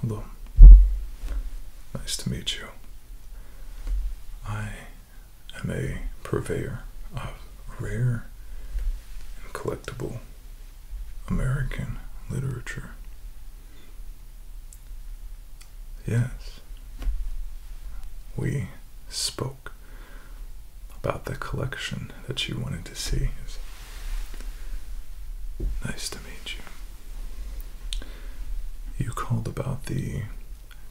Hello. Nice to meet you. I am a purveyor of rare and collectible American literature. Yes. We spoke about the collection that you wanted to see. Nice to meet you. You called about the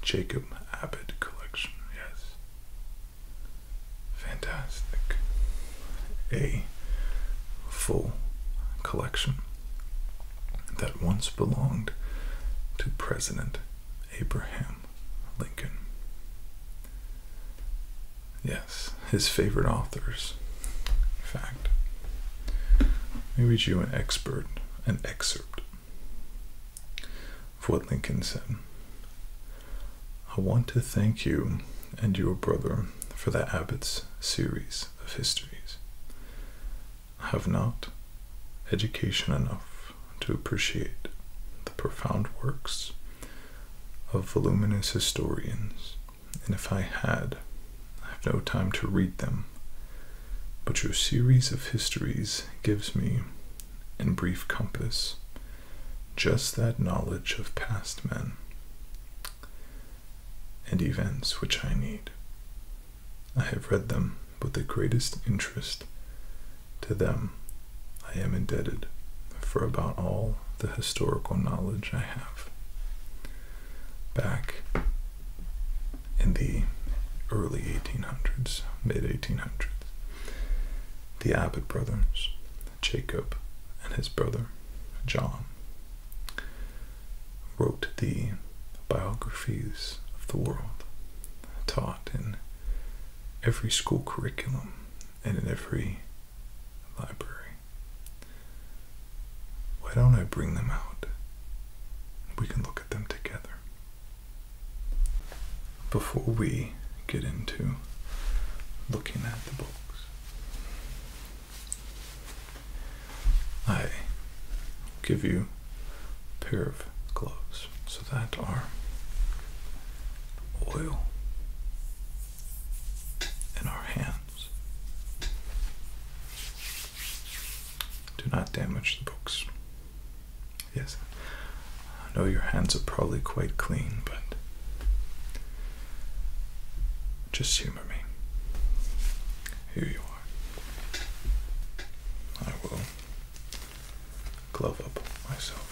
Jacob Abbott collection, yes. Fantastic. A full collection that once belonged to President Abraham Lincoln. Yes, his favorite authors. In fact, let me read you an expert, an excerpt of what Lincoln said. I want to thank you and your brother for the Abbott's series of histories. I have not education enough to appreciate the profound works of voluminous historians and if I had, I have no time to read them. But your series of histories gives me, in brief compass, just that knowledge of past men and events which I need. I have read them with the greatest interest. To them I am indebted for about all the historical knowledge I have. Back in the early 1800s, mid 1800s, the Abbott brothers, Jacob and his brother John, wrote the biographies of the world, taught in every school curriculum and in every library. Why don't I bring them out? We can look at them together. Before we get into looking at the books, I give you a pair of gloves. So that are oil and our hands. Do not damage the books. Yes, I know your hands are probably quite clean, but just humor me. Here you are. I will glove up myself.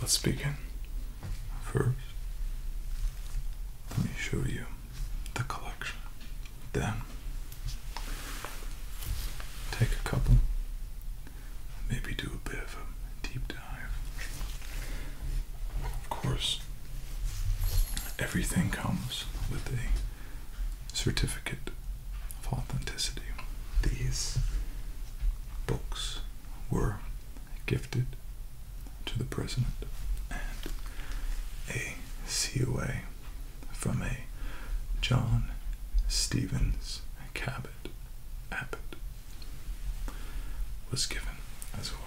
Let's begin. First, let me show you the collection. Then Take a couple, maybe do a bit of a deep dive. Of course, everything comes with a certificate of authenticity. These books were gifted to the president and a COA from a John Stevens Cabot Abbott was given as well.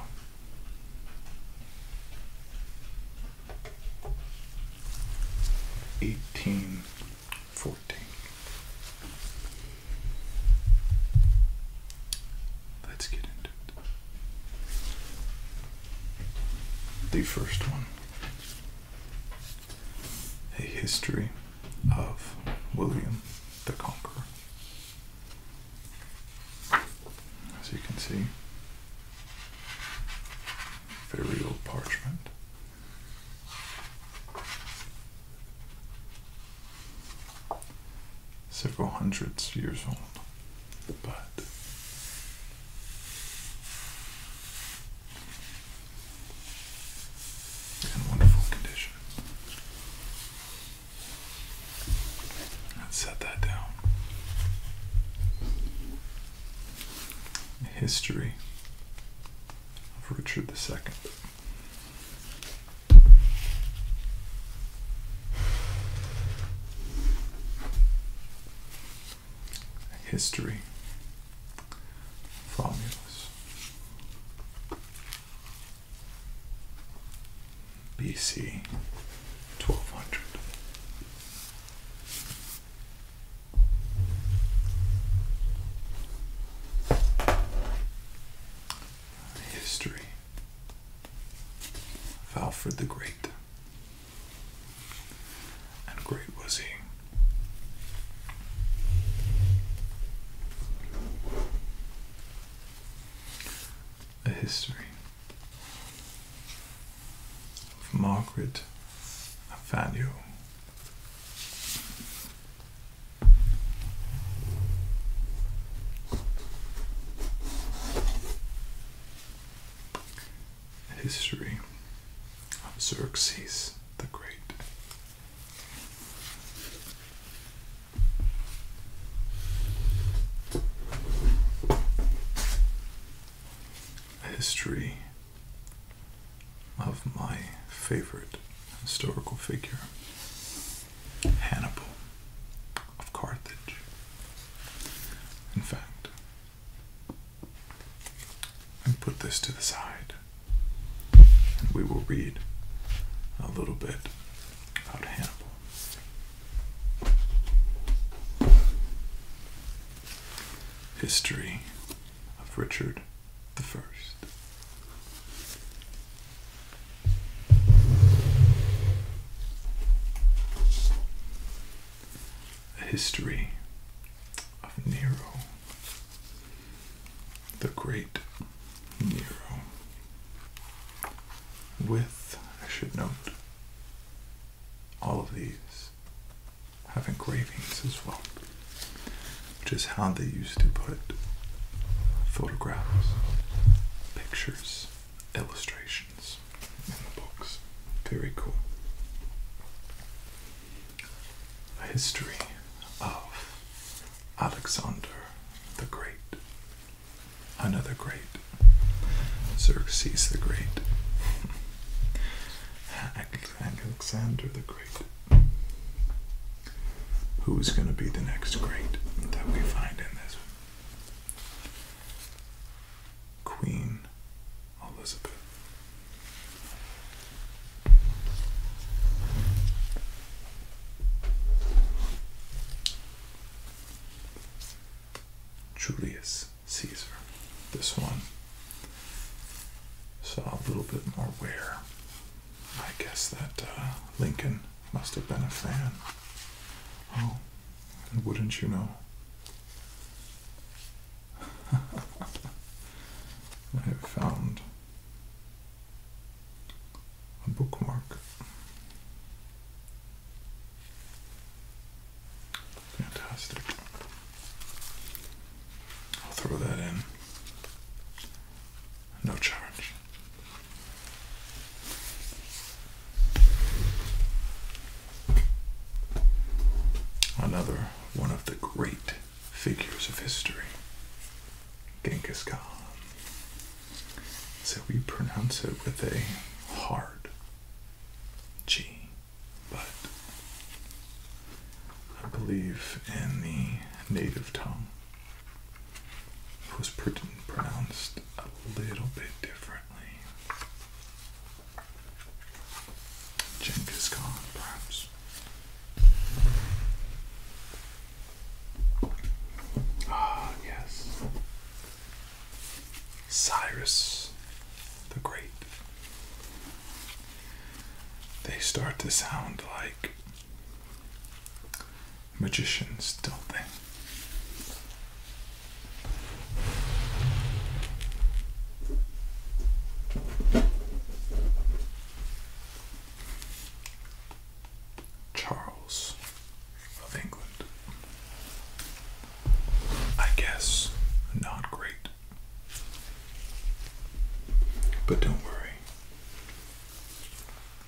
Eighteen fourteen. Let's get into it. The first one a History of William the Conqueror. As you can see, very old parchment. Several hundreds years old, but in wonderful condition. Let's set that down. History of Richard II history formulas. BC 1200. History of Alfred the Great. And great was he. A history of Margaret Afanio. History of Xerxes the Great. A history of my favorite historical figure, Hannibal of Carthage. In fact, and put this to the side. And we will read a little bit about Hannibal. History of Richard the First. A history of Nero, the great Nero, with, I should note, all of these have engravings as well, which is how they used to put photographs, pictures, illustrations items in the box. Very cool. A history of Alexander the Great. Another great. Xerxes the Great. Alexander the Great. Who's going to be the next great that we find in this? Queen Elizabeth. Julius Caesar. This one saw a little bit more wear. I guess that uh, Lincoln must have been a fan. Oh, and wouldn't you know? I have found a bookmark. Fantastic. I'll throw that in. No charge. Another one of the great figures of history, Genghis Khan. So we pronounce it with a hard G, but I believe in the native tongue it was pronounced a little bit differently is gone, perhaps. Ah, yes. Cyrus the Great. They start to sound like magicians, don't they? Charles of England. I guess not great. But don't worry,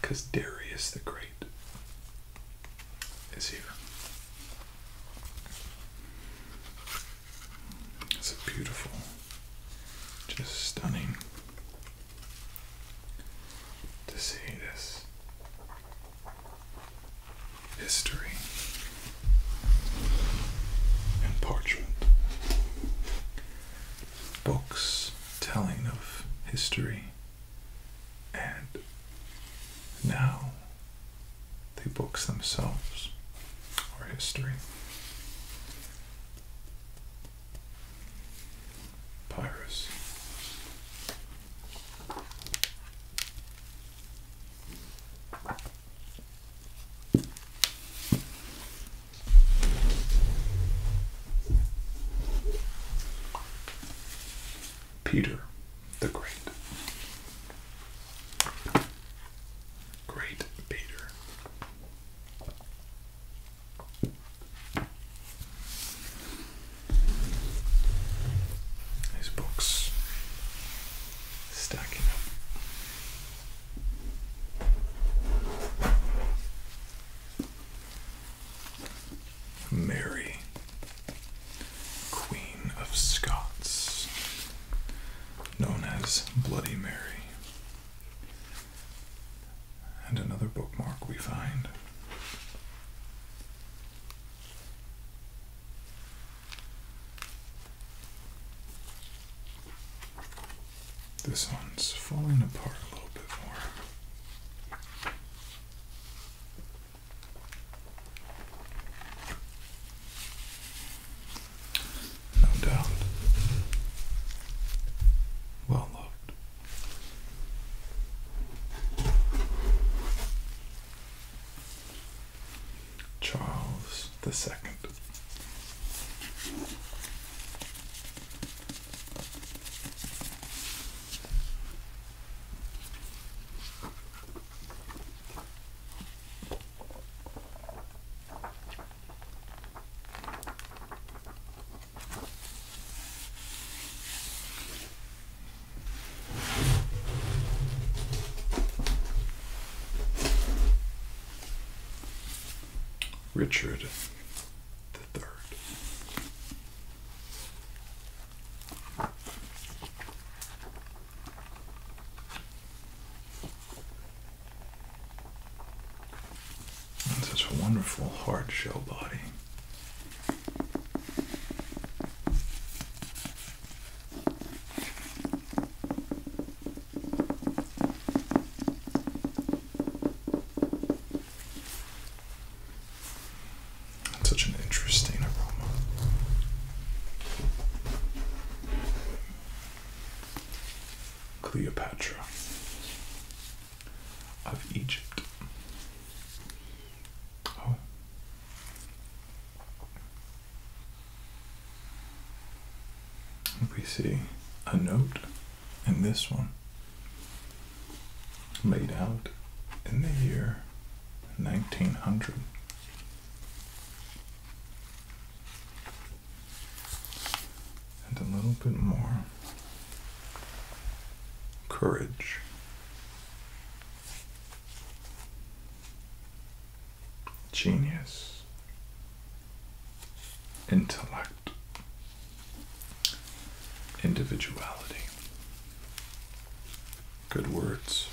because Darius the Great is here. It's beautiful, just stunning to see this history and parchment. Books telling of history and now the books themselves are history. Pyrus. Peter the Great. Great Peter. His books stacking up. Mary, Queen of Scots, known as Bloody Mary. And another bookmark we find. This one's falling apart a little bit more. No doubt. Well loved. Charles the Second. Richard the Third. Such a wonderful hard shell body. That's such an interesting aroma. Cleopatra of Egypt. We oh. see a note in this one Made out in the year 1900. And a little bit more courage. Genius, intellect, individuality. Good words.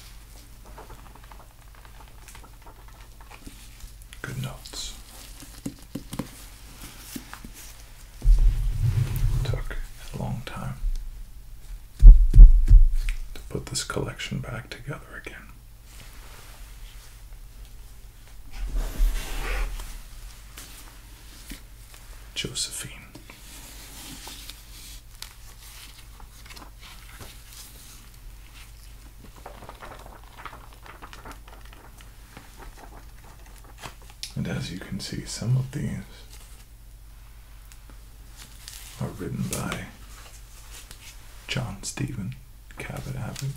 Good notes. took a long time to put this collection back together again. Josephine. And as you can see, some of these are written by John Stephen Cabot Abbott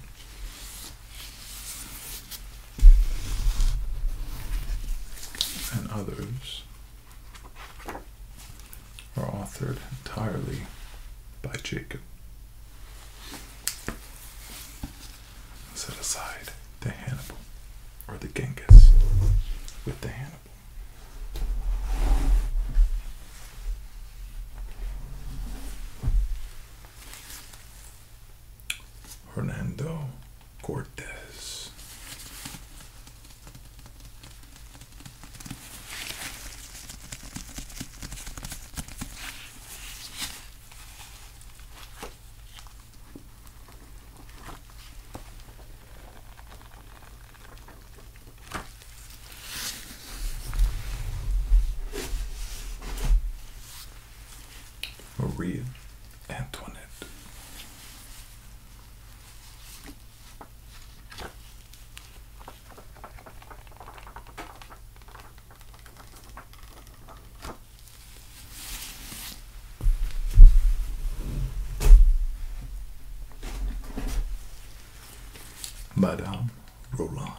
and others are authored entirely by Jacob. Set aside the Hannibal or the Genghis with the Hannibal. Hernando Cortez. Maria Antoinette Madame Roland.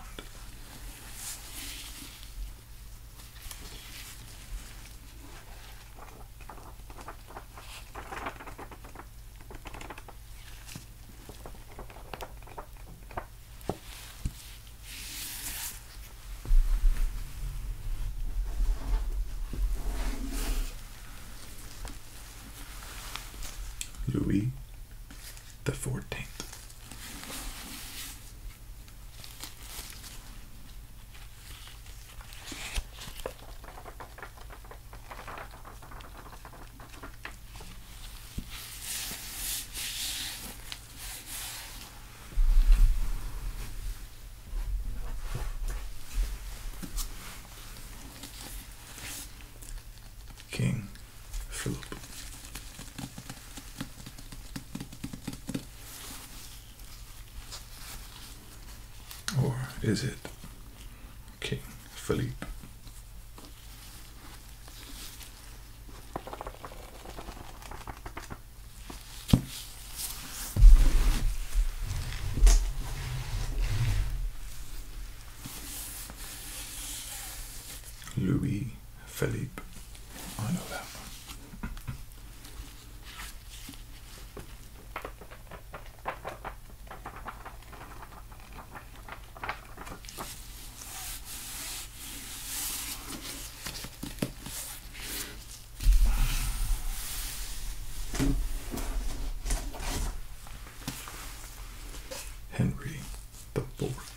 Louis the Fourteenth. King Philip. Or is it King Philippe? Louis Philippe. I know that one. Henry the Fourth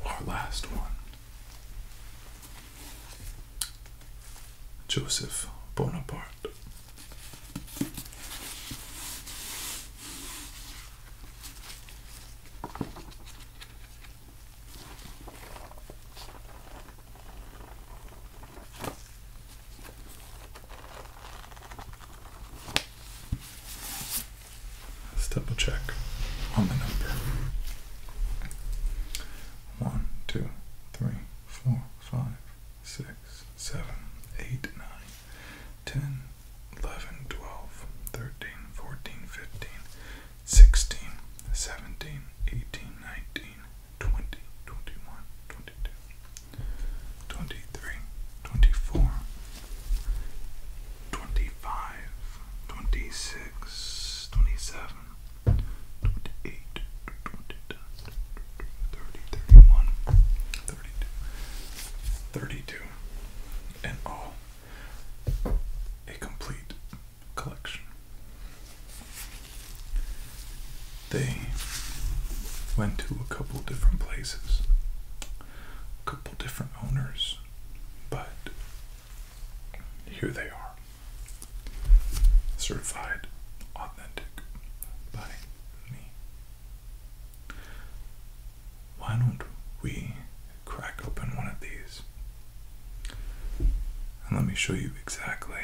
And our last one Joseph Bonaparte. Let's double check on the number. One, two, three, four, five, 6, 7, 8, 9, 10, 11, 12, 13, 14, 15, 16, 17, 18, 19, 20, 21, 22, 23, 24, 25, 26, 27, 28, 32, and all a complete collection. They went to a couple different places, a couple different owners, but here they are. Certified authentic by me. Why don't we crack open one of these? And let me show you exactly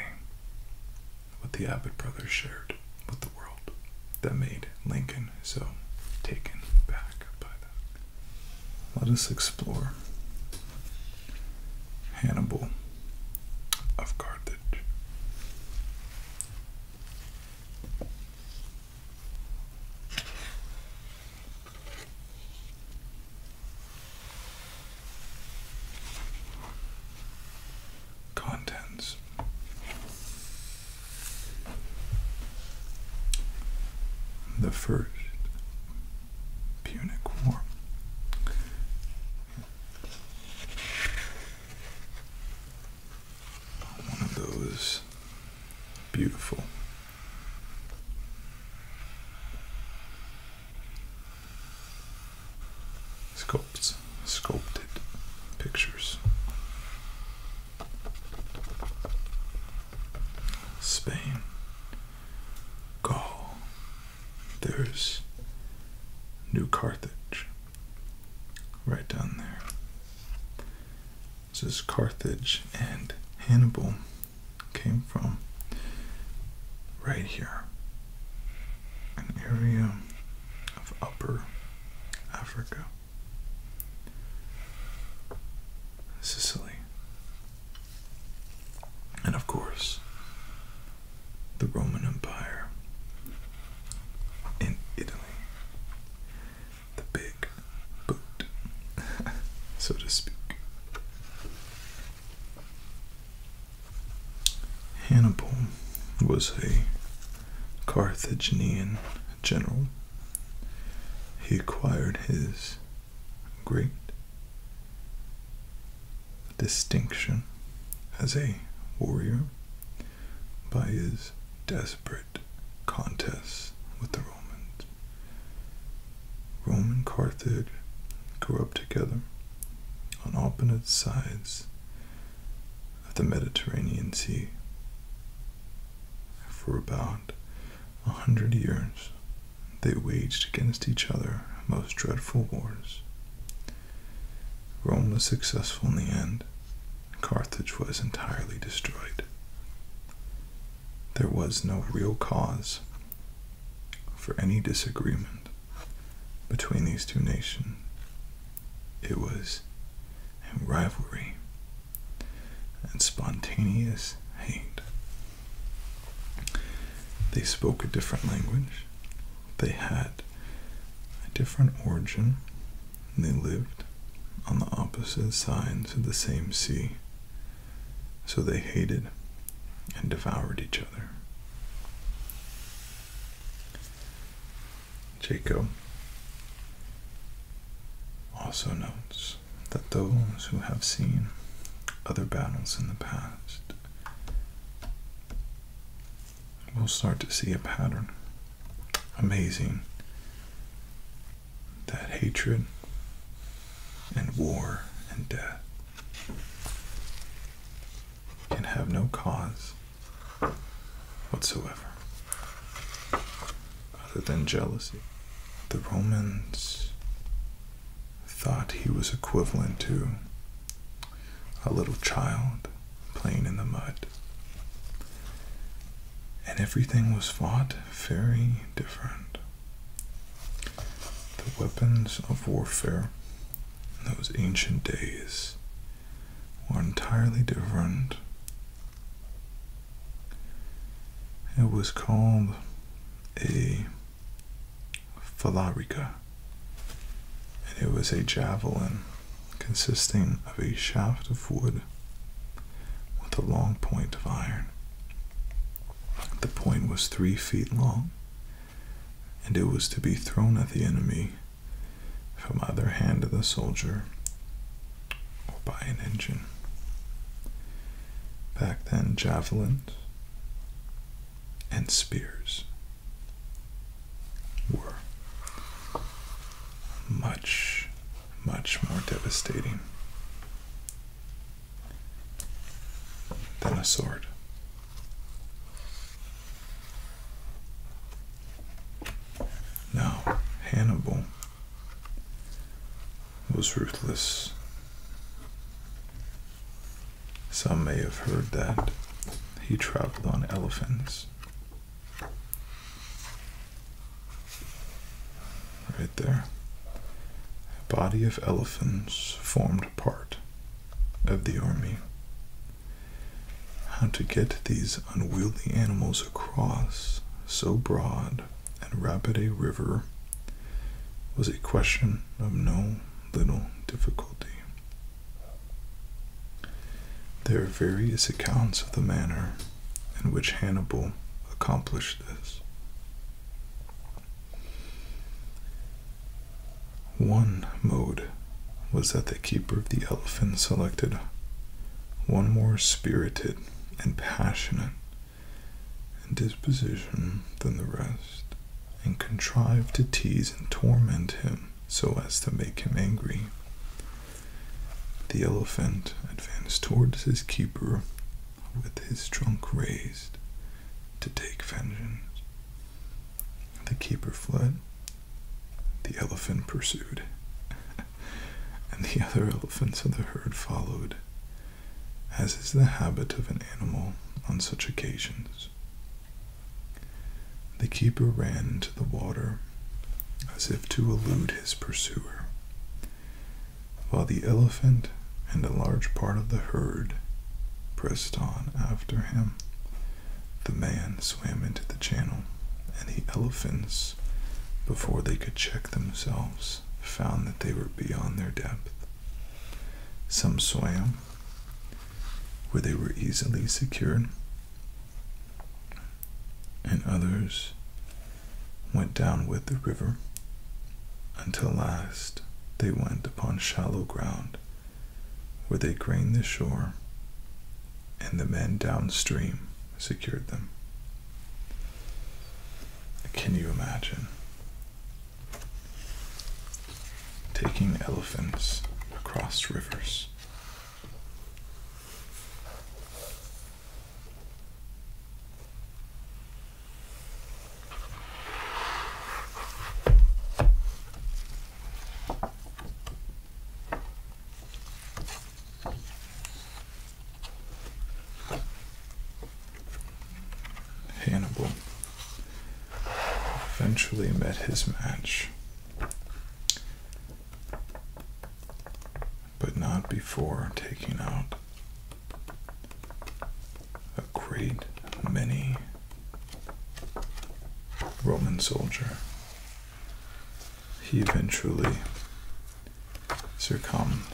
what the Abbott brothers shared with the world that made Lincoln so taken back by them. Let us explore Hannibal of Carthage. Contents The First Punic War one of those beautiful. Sculpts, sculpted pictures. Spain, Gaul, there's New Carthage right down there. This is Carthage, and Hannibal came from right here an area of upper Africa. Sicily. And of course, the Roman Empire in Italy. The big boot, so to speak. Hannibal was a Carthaginian general. He acquired his great distinction as a warrior by his desperate contests with the Romans. Rome and Carthage grew up together on opposite sides of the Mediterranean Sea for about a hundred years they waged against each other most dreadful wars. Rome was successful in the end. Carthage was entirely destroyed. There was no real cause for any disagreement between these two nations. It was rivalry and spontaneous hate. They spoke a different language, they had a different origin, and they lived on the opposite sides of the same sea. So they hated and devoured each other. Jacob also notes that those who have seen other battles in the past we'll start to see a pattern. Amazing that hatred and war and death can have no cause whatsoever other than jealousy. The Romans thought he was equivalent to a little child playing in the mud. And everything was fought very different. The weapons of warfare in those ancient days were entirely different. It was called a Falarica, and it was a javelin consisting of a shaft of wood with a long point of iron. The point was three feet long, and it was to be thrown at the enemy from either hand of the soldier or by an engine. Back then, javelins and spears were much, much more devastating than a sword. Now, Hannibal was ruthless some may have heard that he traveled on elephants. Right there. A body of elephants formed part of the army. How to get these unwieldy animals across so broad and rapid a river was a question of no little difficulty. There are various accounts of the manner in which Hannibal accomplished this. One mode was that the keeper of the elephant selected one more spirited and passionate in disposition than the rest, and contrived to tease and torment him so as to make him angry. The elephant advanced towards his keeper with his trunk raised to take vengeance. The keeper fled. The elephant pursued, and the other elephants of the herd followed as is the habit of an animal on such occasions. The keeper ran into the water as if to elude his pursuer, while the elephant and a large part of the herd pressed on after him. The man swam into the channel, and the elephants, before they could check themselves, found that they were beyond their depth. Some swam where they were easily secured, and others went down with the river until last they went upon shallow ground where they gained the shore and the men downstream secured them. Can you imagine? Taking elephants across rivers. Hannibal eventually met his match, but not before taking out a great many Roman soldier. He eventually succumbed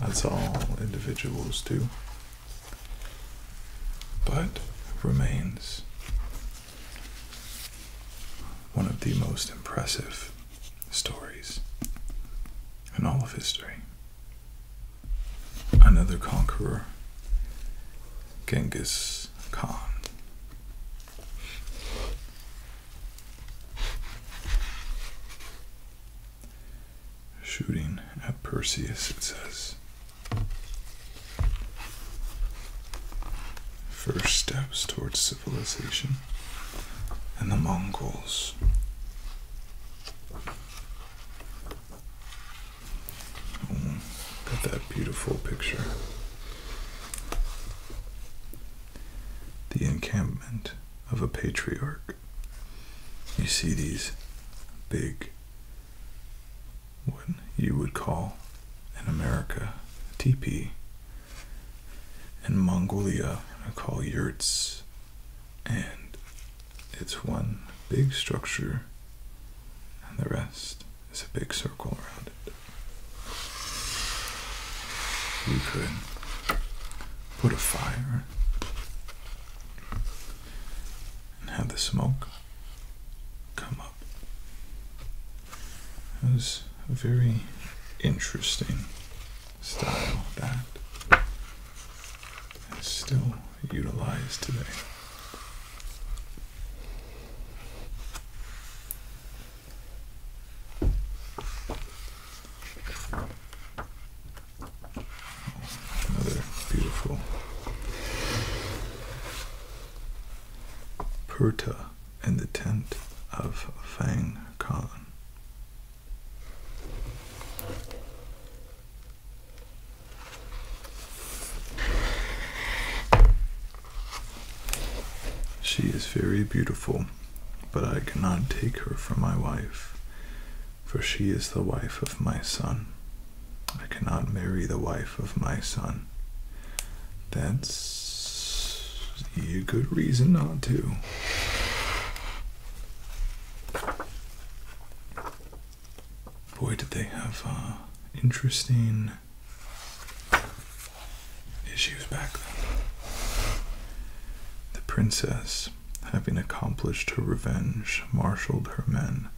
that's all individuals do, but remains one of the most impressive stories in all of history. Another conqueror, Genghis Khan. Shooting at Perseus, it says. First steps towards civilization and the Mongols. got that beautiful picture. The encampment of a patriarch. You see these big, what you would call in America, teepee. In Mongolia, I call yurts. And it's one big structure, and the rest is a big circle around it. We could put a fire and have the smoke come up. It was a very interesting style that is still utilized today. Another beautiful Purta in the tent of Fang Khan. She is very beautiful but I cannot take her for my wife, for she is the wife of my son. I cannot marry the wife of my son. That's a good reason not to. Boy, did they have uh, interesting issues back then. The princess having accomplished her revenge, marshaled her men,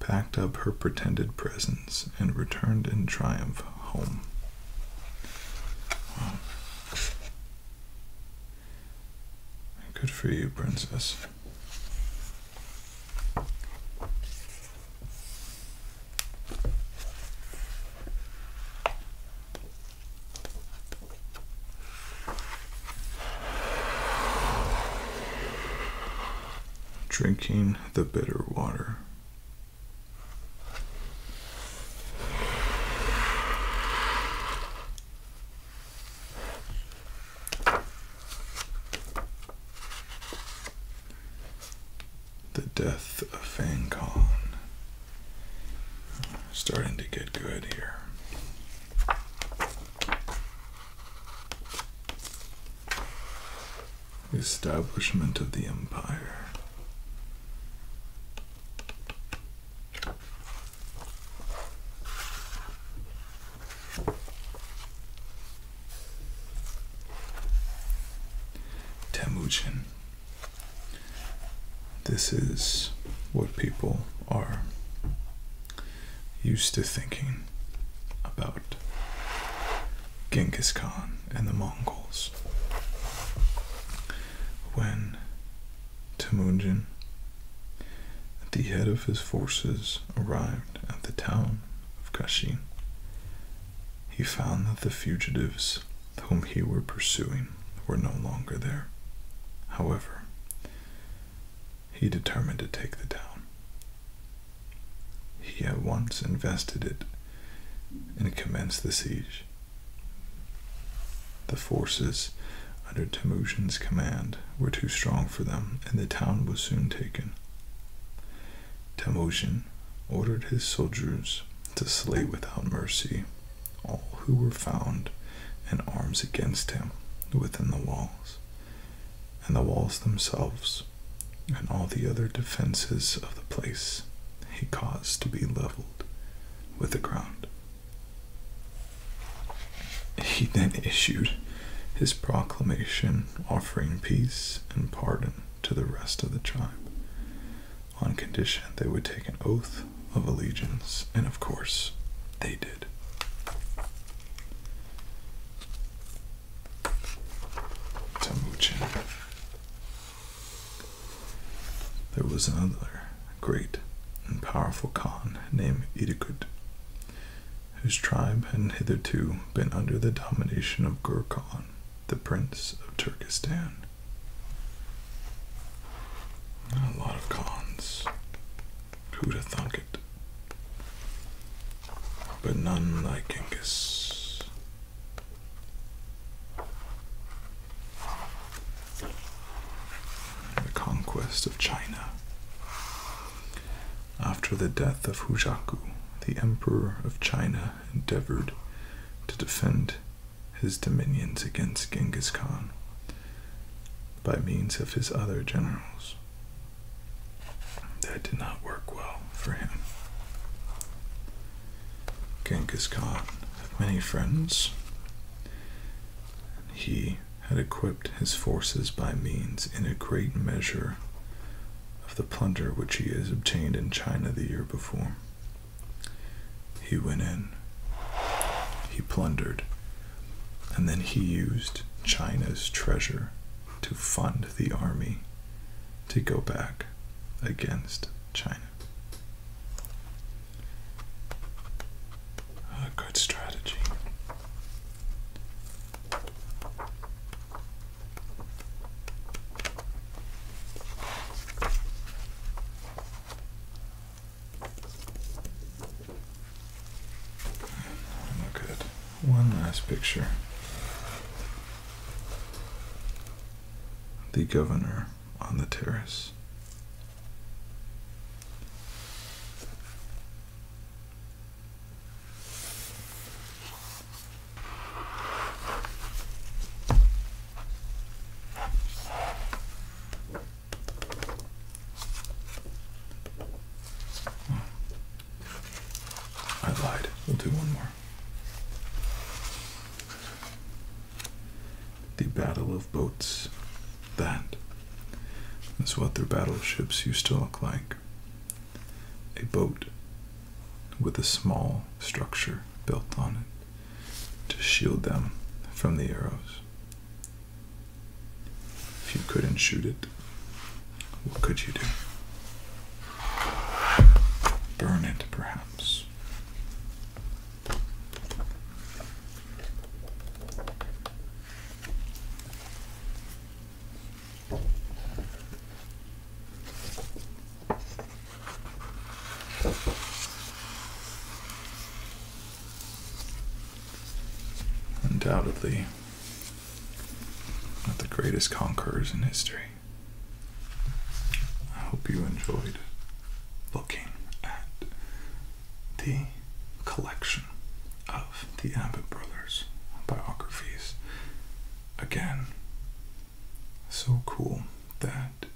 packed up her pretended presents, and returned in triumph home. Good for you, princess. Drinking the bitter water. The death of Fang Khan. Starting to get good here. Establishment of the Empire. Temujin. This is what people are used to thinking about Genghis Khan and the Mongols. When Temujin, at the head of his forces, arrived at the town of Kashin, he found that the fugitives whom he were pursuing were no longer there. However, he determined to take the town. He at once invested it and commenced the siege. The forces under Temujin's command were too strong for them, and the town was soon taken. Temujin ordered his soldiers to slay without mercy all who were found in arms against him within the walls, and the walls themselves, and all the other defences of the place, he caused to be levelled with the ground. He then issued his proclamation offering peace and pardon to the rest of the tribe, on condition they would take an oath of allegiance, and of course, they did. To There was another great and powerful Khan named Idikut, whose tribe had hitherto been under the domination of Gur Khan, the Prince of Turkestan. A lot of cons. Who'd have thunk it? But none like Genghis. The conquest of China. After the death of Hujaku, the emperor of China endeavored to defend his dominions against Genghis Khan by means of his other generals. That did not work well for him. Genghis Khan had many friends. And he had equipped his forces by means, in a great measure, of the plunder which he had obtained in China the year before. He went in, he plundered, and then he used China's treasure to fund the army to go back against China. A good strategy. Look at one last picture. The governor on the terrace. I lied. We'll do one more. The Battle of Boats. That is what their battleships used to look like. A boat with a small structure built on it to shield them from the arrows. If you couldn't shoot it, what could you do? Burn it, perhaps. Undoubtedly, one the greatest conquerors in history. I hope you enjoyed looking at the collection of the Abbott Brothers biographies. Again, so cool that that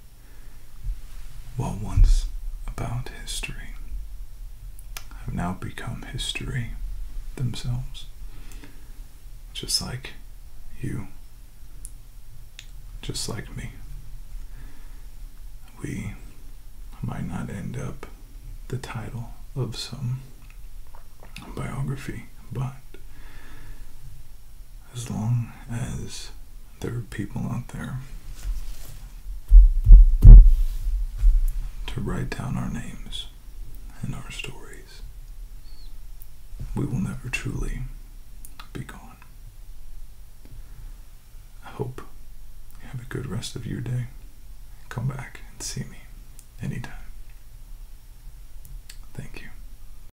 what once about history have now become history themselves. Just like you, just like me. We might not end up the title of some biography, but as long as there are people out there to write down our names and our stories, we will never truly be gone. I hope you have a good rest of your day. Come back and see me anytime. Thank you.